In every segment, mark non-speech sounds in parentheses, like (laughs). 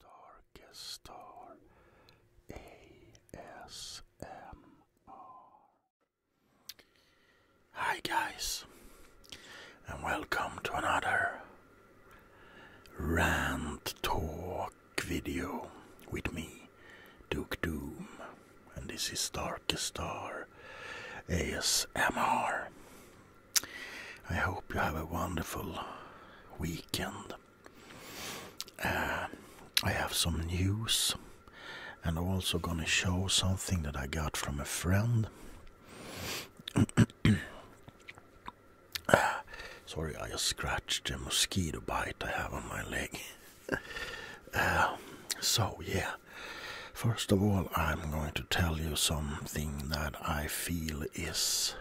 Darkest Star ASMR. Hi, guys, and welcome to another rant talk video with me, Duke Doom, and this is Darkest Star ASMR. I hope you have a wonderful weekend. Uh, I have some news and I'm also going to show something that I got from a friend. (coughs) Sorry, I just scratched a mosquito bite I have on my leg. (laughs) Uh, so, yeah. First of all, I'm going to tell you something that I feel is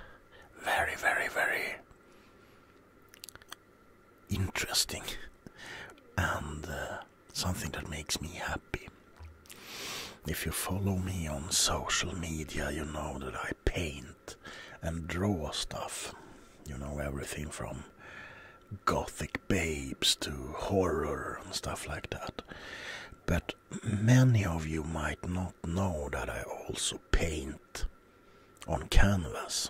very, very, very interesting and uh, something that makes me happy. If you follow me on social media, you know that I paint and draw stuff. You know, everything from gothic babes to horror and stuff like that. But many of you might not know that I also paint on canvas,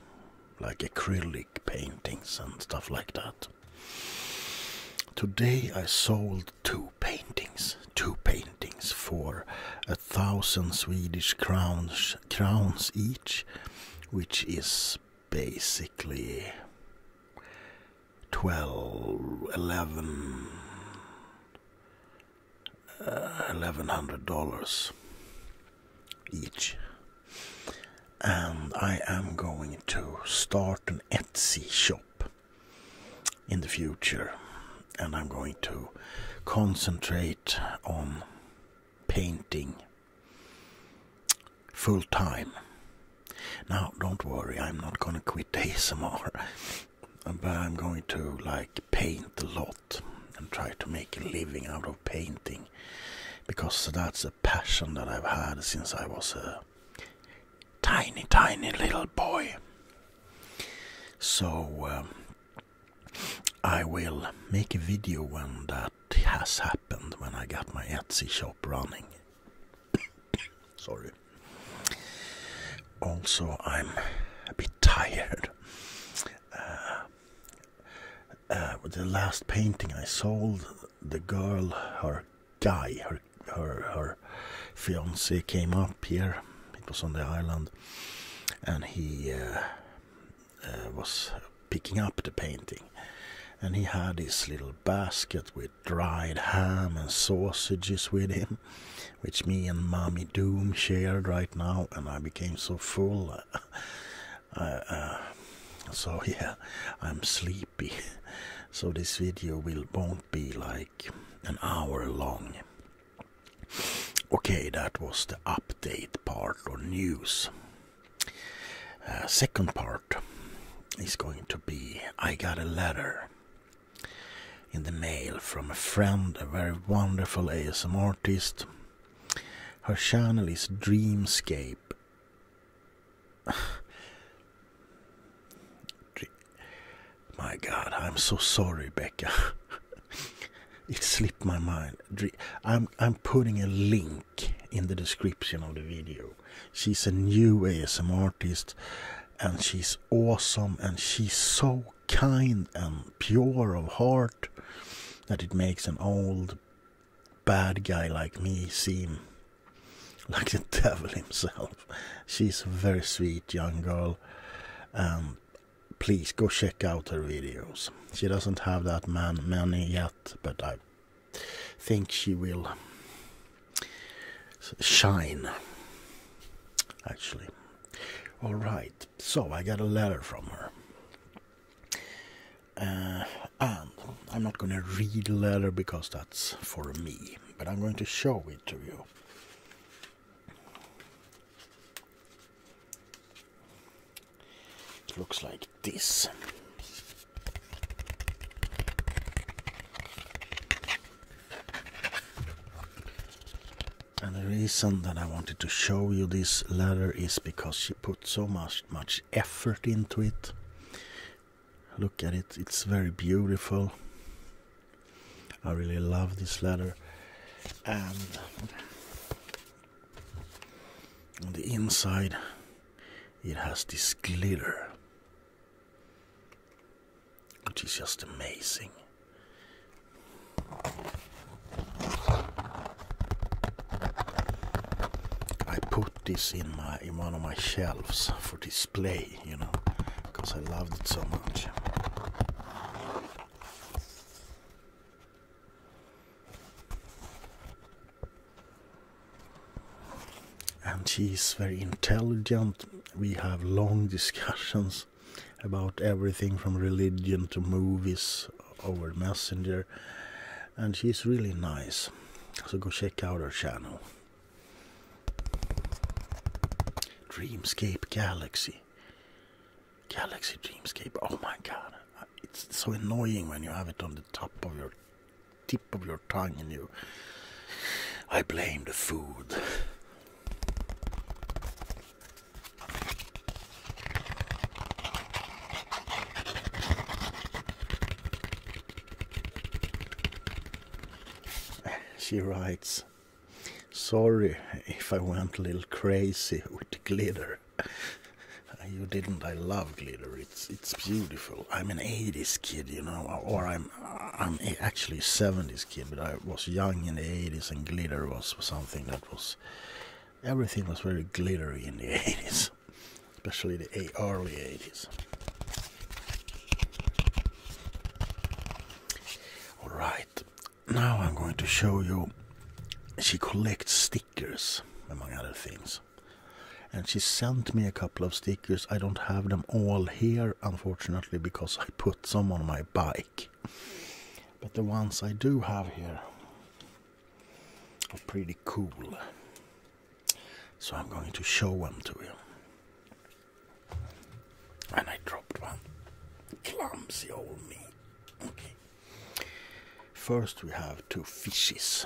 like acrylic paintings and stuff like that. Today I sold two paintings, two paintings for a thousand Swedish crowns, crowns each, which is basically 12, uh, dollars each. And I am going to start an Etsy shop in the future. And I'm going to concentrate on painting full time now, don't worry, I'm not gonna quit ASMR, (laughs) but I'm going to like paint a lot and try to make a living out of painting because that's a passion that I've had since I was a tiny, tiny little boy. So, um, I will make a video when that has happened, when I get my Etsy shop running. Sorry. Also, I'm a bit tired. Uh, uh the last painting I sold, the girl, her guy, her her her fiance came up here. It was on the island, and he uh, uh, was picking up the painting, and he had his little basket with dried ham and sausages with him, which me and Mommy Doom shared right now, and I became so full. Uh, (laughs) uh, so (laughs) yeah, I'm sleepy. (laughs) So this video will won't be like an hour long. Okay, that was the update part or news. Uh, second part is going to be I got a letter in the mail from a friend, a very wonderful ASM artist. Her channel is Dreamscape. (sighs) my god, I'm so sorry, Becca. (laughs) it slipped my mind. I'm I'm putting a link in the description of the video She's a new ASM artist and she's awesome and she's so kind and pure of heart that it makes an old bad guy like me seem like the (laughs) devil himself. She's a very sweet young girl and please go check out her videos. She doesn't have that man many yet, but I think she will shine actually all right so i got a letter from her uh, and i'm not going to read the letter because that's for me but i'm going to show it to you it looks like this. And the reason that I wanted to show you this letter is because she put so much much effort into it. Look at it, it's very beautiful. I really love this letter, And on the inside it has this glitter, which is just amazing. I put this in my in one of my shelves for display, you know, because I loved it so much and she very intelligent. We have long discussions about everything from religion to movies over Messenger, and she's really nice. So go check out her channel. Dreamscape Galaxy. Galaxy Dreamscape. Oh my god, it's so annoying when you have it on the top of your tip of your tongue and you. I blame the food. She writes, Sorry if I went a little crazy with the glitter. (laughs) You didn't. I love glitter. It's it's beautiful. I'm an '80s kid, you know, or I'm I'm actually '70s kid, but I was young in the '80s, and glitter was something that was everything was very glittery in the '80s, (laughs) especially the early '80s. All right, now I'm going to show you. She collects stickers, among other things. And she sent me a couple of stickers. I don't have them all here, unfortunately, because I put some on my bike. But the ones I do have here are pretty cool. So I'm going to show them to you. And I dropped one. Clumsy old me. Okay. First, we have two fishes,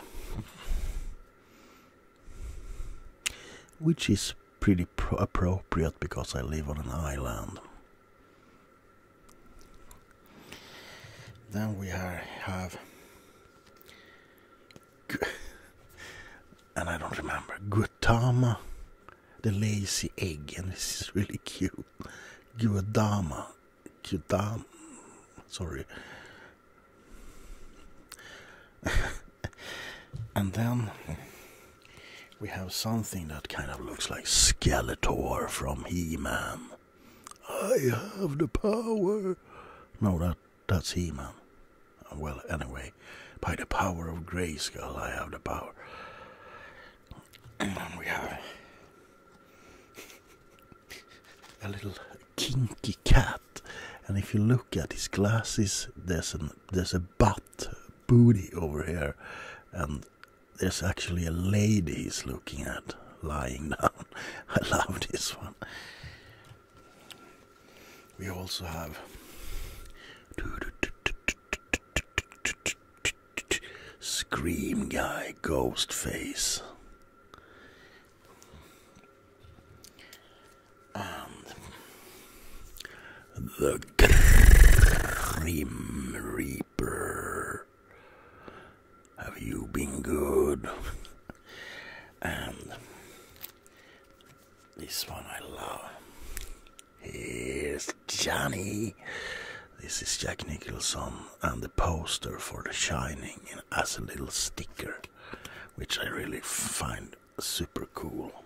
which is pretty appropriate because I live on an island. Then we have, (laughs) and I don't remember, Gautama the lazy egg, and this is really cute. Guadama. Guadam. Sorry. (laughs) and then we have something that kind of looks like Skeletor from He-Man. I have the power. No, that that's He-Man. Well, anyway, by the power of Grayskull, I have the power. And we have a little kinky cat. And if you look at his glasses, there's there's a butt booty over here, and there's actually a lady he's looking at lying (laughs) down. I love this one. We also have Scream guy, Ghostface. And um, the Grim Reaper. Have you been good? and this one I love. Here's Johnny. This is Jack Nicholson and the poster for The Shining as a little sticker, which I really find super cool.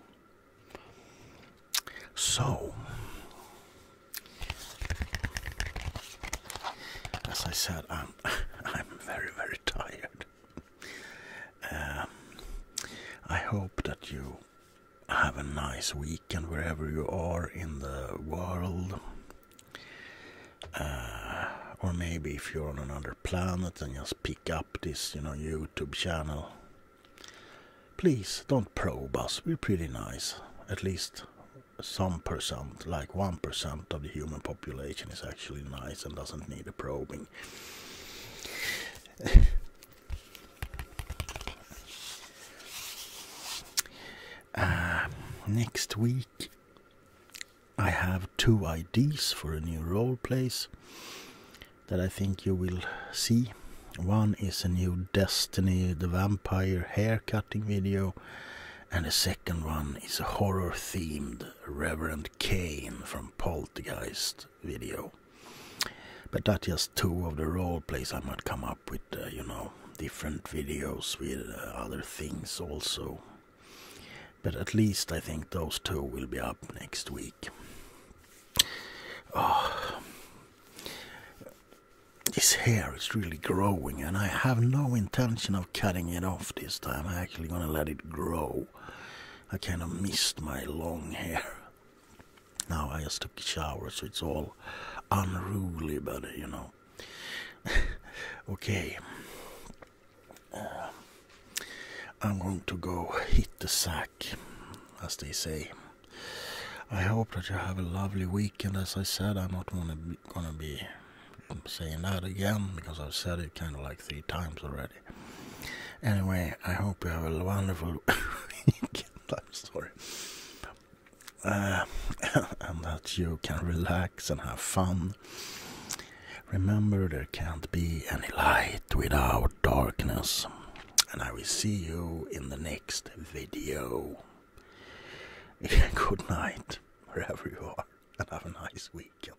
So, as I said, I'm (laughs) I'm very very tired. Um, I hope that you have a nice weekend wherever you are in the world. Uh, or maybe if you're on another planet and just pick up this, you know, YouTube channel. Please don't probe us. We're pretty nice. At least some percent, like 1% of the human population is actually nice and doesn't need a probing. (laughs) Um, next week, I have two ideas for a new role plays that I think you will see. One is a new Destiny the Vampire hair cutting video, and the second one is a horror themed Reverend Kane from Poltergeist video. But that's just two of the role plays. I might come up with, uh, you know, different videos with uh, other things also. But at least I think those two will be up next week. Oh, this hair is really growing, and I have no intention of cutting it off this time. I'm actually gonna let it grow I kind of missed my long hair. Now I just took a shower, so it's all unruly, but you know. (laughs) okay. Uh, I'm going to go hit the sack, as they say. I hope that you have a lovely weekend. As I said, I'm not gonna be saying that again because I've said it kind of like three times already. Anyway, I hope you have a wonderful (laughs) weekend. I'm sorry. Uh, (laughs) and that you can relax and have fun. Remember, there can't be any light without darkness. And I will see you in the next video. (laughs) Good night, wherever you are, and have a nice weekend.